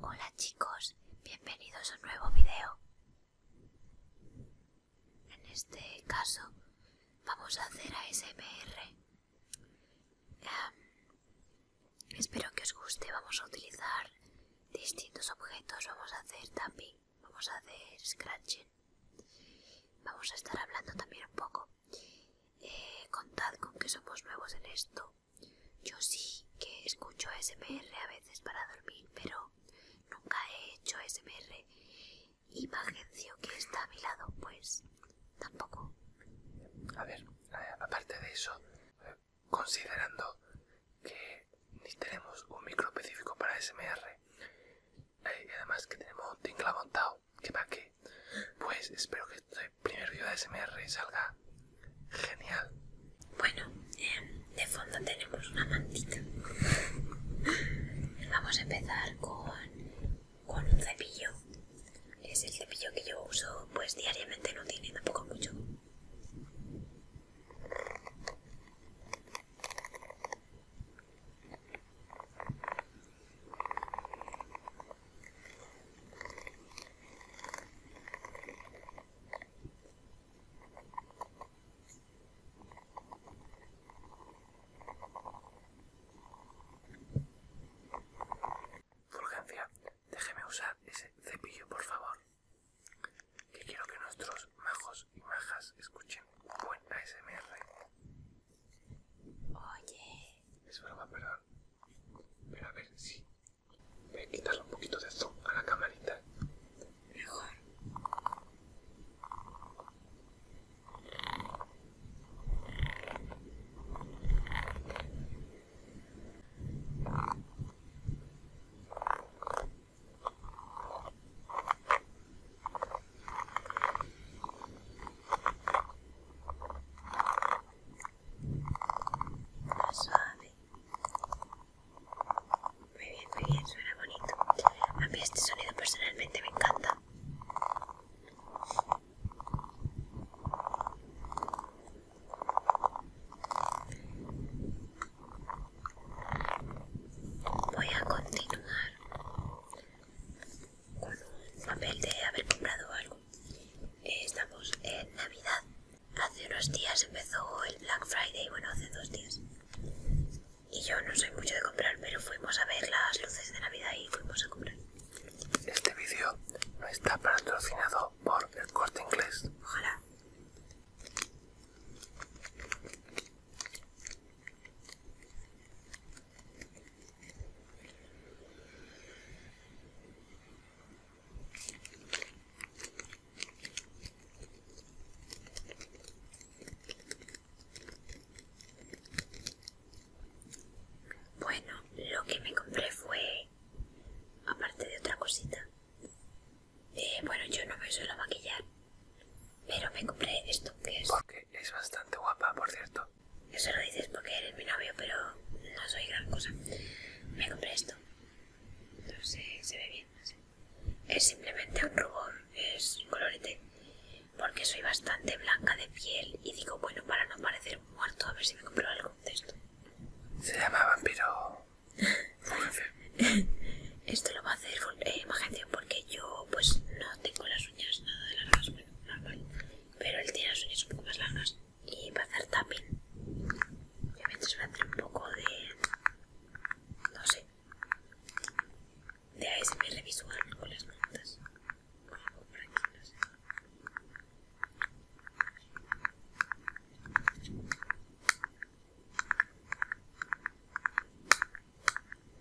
Hola chicos, bienvenidos a un nuevo video. En este caso vamos a hacer ASMR. Em, espero que os guste, vamos a utilizar distintos objetos, vamos a hacer tapping, vamos a hacer scratching, vamos a estar hablando también un poco. Eh, contad con que somos nuevos en esto yo sí que escucho SMR a veces para dormir, pero nunca he hecho SMR. Y Magencio, que está a mi lado, pues tampoco. A ver, aparte de eso, eh, considerando que ni tenemos un micro específico para SMR, eh, y además que tenemos un tingla montado, que para que pues espero que primer día de SMR salga genial. Bueno, em, de fondo tenemos una mantita. Vamos a empezar con, con un cepillo. Es el cepillo que yo uso pues diariamente, no tiene tampoco mucho urgencia déjeme usar ese cepillo, por favor. Que quiero que nuestros majos y majas escuchen buen ASMR. Oye. Es broma, perdón. Pero a ver si... me Voy quitarle un poquito de zoom a la camarita. Mejor suave muy bien, muy bien, suena bonito a mí este sonido personalmente me encanta voy a continuar con un papel de haber comprado algo. Eh, estamos en Navidad. Hace unos días empezó el Black Friday, bueno, hace dos días. Y yo no soy mucho de comprar, pero fuimos a ver las luces de Navidad y fuimos a comprar. Este vídeo no está patrocinado por el corte inglés. Ojalá. Bueno, lo que me compré fue, aparte de otra cosita, eh, bueno, yo no me suelo maquillar, pero me compré esto que es... Porque es bastante guapa, por cierto. Eso lo dices porque eres mi novio, pero no soy gran cosa. Me compré esto. No sé, se ve bien, no Es simplemente un rubor, es colorete. Porque soy bastante blanca de piel y digo, bueno, para no parecer muerto, a ver si me compro algo de esto. Se llama vampiro. esto lo va a hacer eh, porque yo, pues, no tengo las uñas nada de las bueno, pero el tiras es un poco más largas y va a hacer tapping y a veces va a hacer un poco de no sé de ASMR visual con las notas o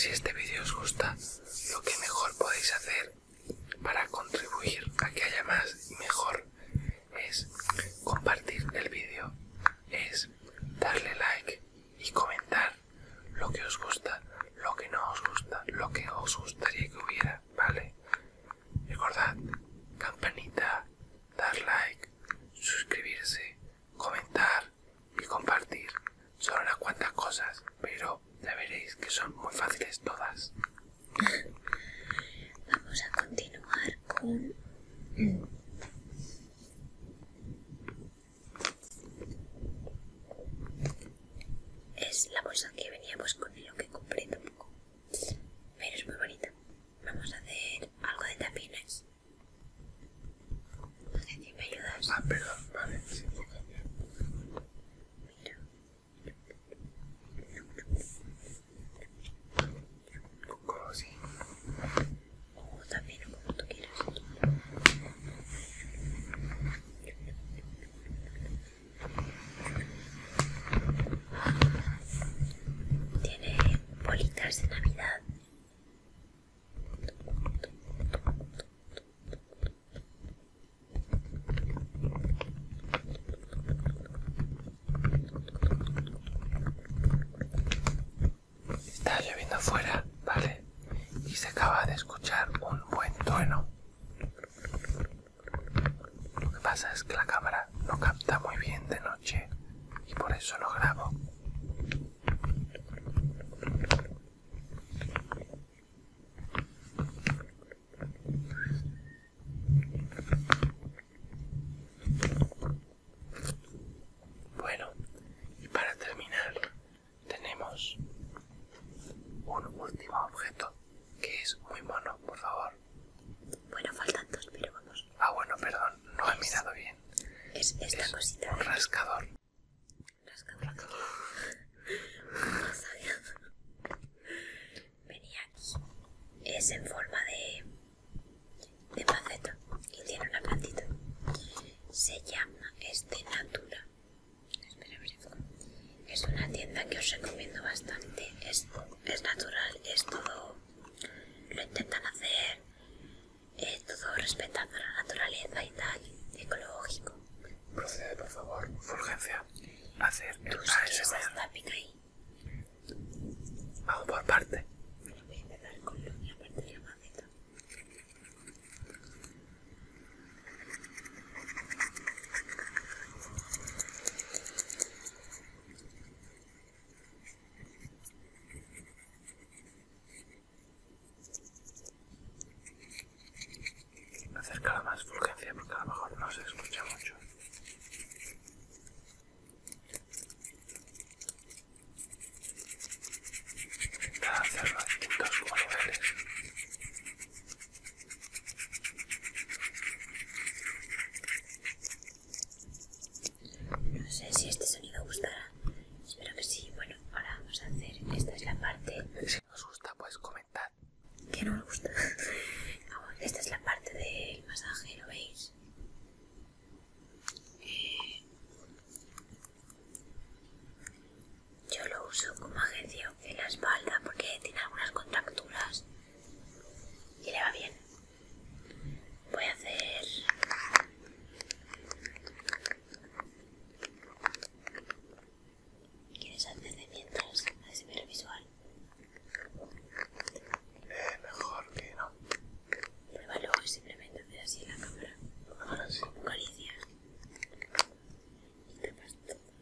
Si este vídeo os gusta, lo que mejor podéis hacer para contribuir a que haya más y mejor es compartir el vídeo, es darle like y comentar lo que os gusta, lo que no os gusta, lo que os gustaría que hubiera, ¿vale? Recordad, campanita, dar like, suscribirse, comentar y compartir. Son unas cuantas cosas, pero ya veréis que son muy fáciles todas. Vamos a continuar con... Es la bolsa que veníamos con lo que compré tampoco. Pero es muy bonita. Vamos a hacer algo de tapines. No sé me ayudas. Ah, perdón, vale, sí, puedo cambiar. Mira. ¿Coco? así. O también, como tú quieras. Tiene bolitas de Navidad. Está lloviendo afuera, ¿vale? Y se acaba de escuchar un buen trueno. Lo que pasa es que la cámara no capta muy bien de noche y por eso lo grabo. Bueno, y para terminar tenemos un último objeto que es muy mono, por favor. Bueno, faltan dos, pero vamos. Ah, bueno, perdón, no he mirado bien. Es esta cosita. Un rascador. Rascador. Venía aquí. Es en forma de. de maceta. Y tiene una plantita. Se llama este Natura. Espera, a ver es una tienda que os recomiendo bastante es, es natural es todo lo intentan hacer eh, todo respetando la naturaleza y tal ecológico procede por favor fulgencia hacer el ahí. vamos por parte voy parte Acerca la más fulgencia porque a lo mejor no se escucha mucho. Intentar hacerlo a distintos niveles no sé si este sonido gustará. Espero que sí. Bueno, ahora vamos a hacer. Esta es la parte. Si os gusta, pues comentad. Que no os gusta. Esta es la parte del masaje, ¿lo veis? Eh, yo lo uso como agencia en la espalda porque tiene algunas contracturas y le va bien. Voy a hacer... ¿Quieres hacer de mientras? Hacer ver visual. es eh, mejor que no. Pruébalo y simplemente hacer así en la cámara. Ahora sí. Con caricias. Y todo.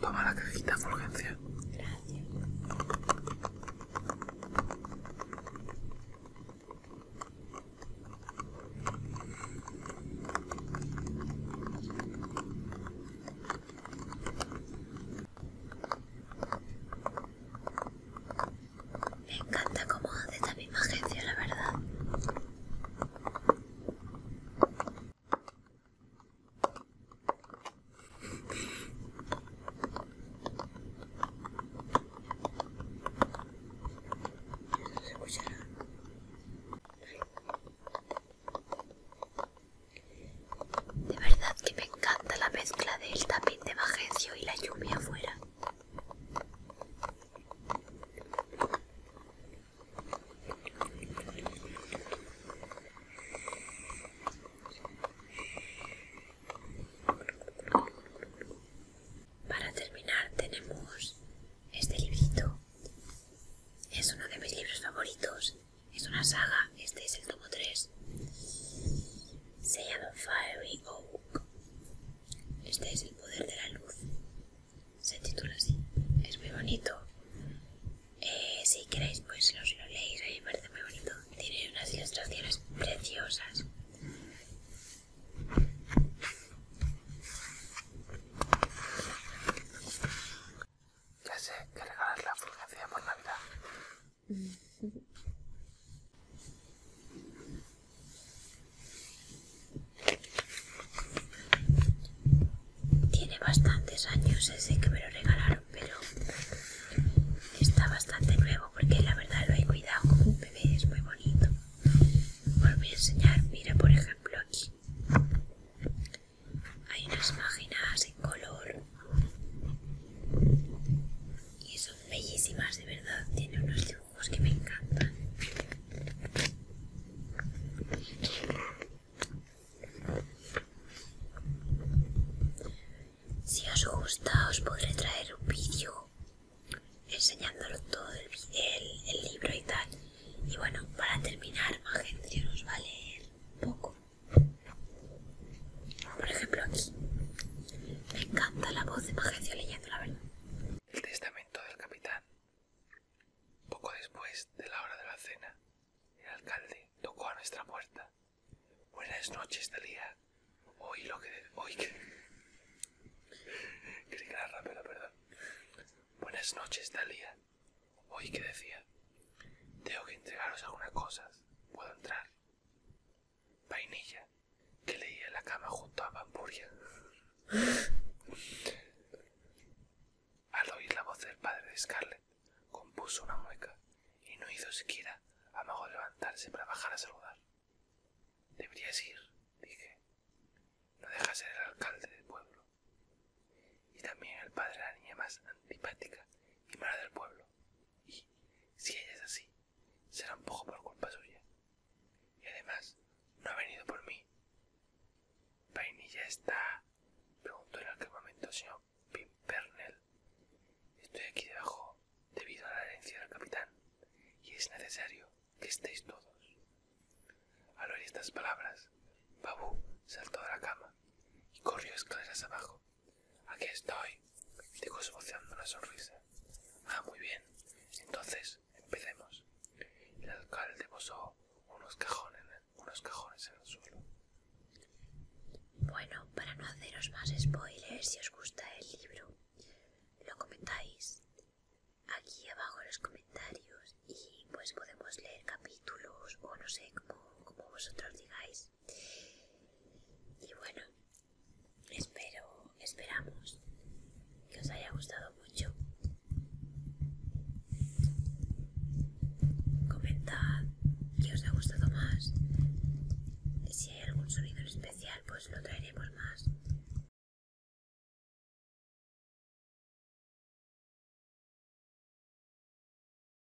Toma la cajita, urgencia. Me encanta cómo hace también Magencio, la verdad. De verdad que me encanta la mezcla del tapín de Magencio y la lluvia afuera. Para terminar tenemos este librito. Es uno de mis libros favoritos. Es una saga. Este es el tomo 3. Se llama fiery este es el poder de la luz. Se titula así. Es muy bonito. Eh, si queréis, pues os lo leéis. A mí me parece muy bonito. Tiene unas ilustraciones preciosas. Ya sé que regalar la fotografía por Navidad Tiene bastantes años ese que me lo regalaron, pero está bastante nuevo porque la verdad lo he cuidado como un bebé, es muy bonito. Os voy a enseñar, mira por ejemplo aquí. Hay unas páginas en color y eso bellísimas de verdad tiene unos dibujos que me encantan si os gusta os podré traer un vídeo enseñándolo todo el, el libro y tal y bueno para terminar Magencio nos vale poco por ejemplo, aquí. Me encanta la voz de Magencio leyendo, la verdad. El testamento del capitán. Poco después de la hora de la cena, el alcalde tocó a nuestra puerta. Buenas noches, Talía. Hoy lo que... Hoy que... que era perdón. Buenas noches, Talía. Hoy que decía. Tengo que entregaros algunas cosas. ¿Puedo entrar? vainilla que leía en la cama junto a Bamburia. Al oír la voz del padre de Scarlet, compuso una mueca y no hizo siquiera amago de levantarse para bajar a saludar. Deberías ir, dije. No dejas ser el alcalde del pueblo. Y también el padre de la niña más antipática y mala del pueblo. Si ella es así, será un poco por culpa suya. Y además, no ha venido por mí. ¿Vainilla está? preguntó en aquel momento el señor Pimpernel. Estoy aquí debajo debido a la herencia del capitán, y es necesario que estéis todos. Al oír estas palabras, Babu saltó de la cama y corrió escaleras abajo Aquí estoy, digo esbozando una sonrisa. Ah, muy bien. Entonces, empecemos. El alcalde posó unos cajones, en el suelo. Bueno, para no haceros más spoilers, si os gusta el libro, lo comentáis aquí abajo en los comentarios y pues podemos leer capítulos o no sé, cómo, como vosotros digáis. Y bueno, espero, esperamos que os haya gustado mucho. Comentad qué os ha gustado más. Si hay algún sonido en especial, pues lo traeremos más.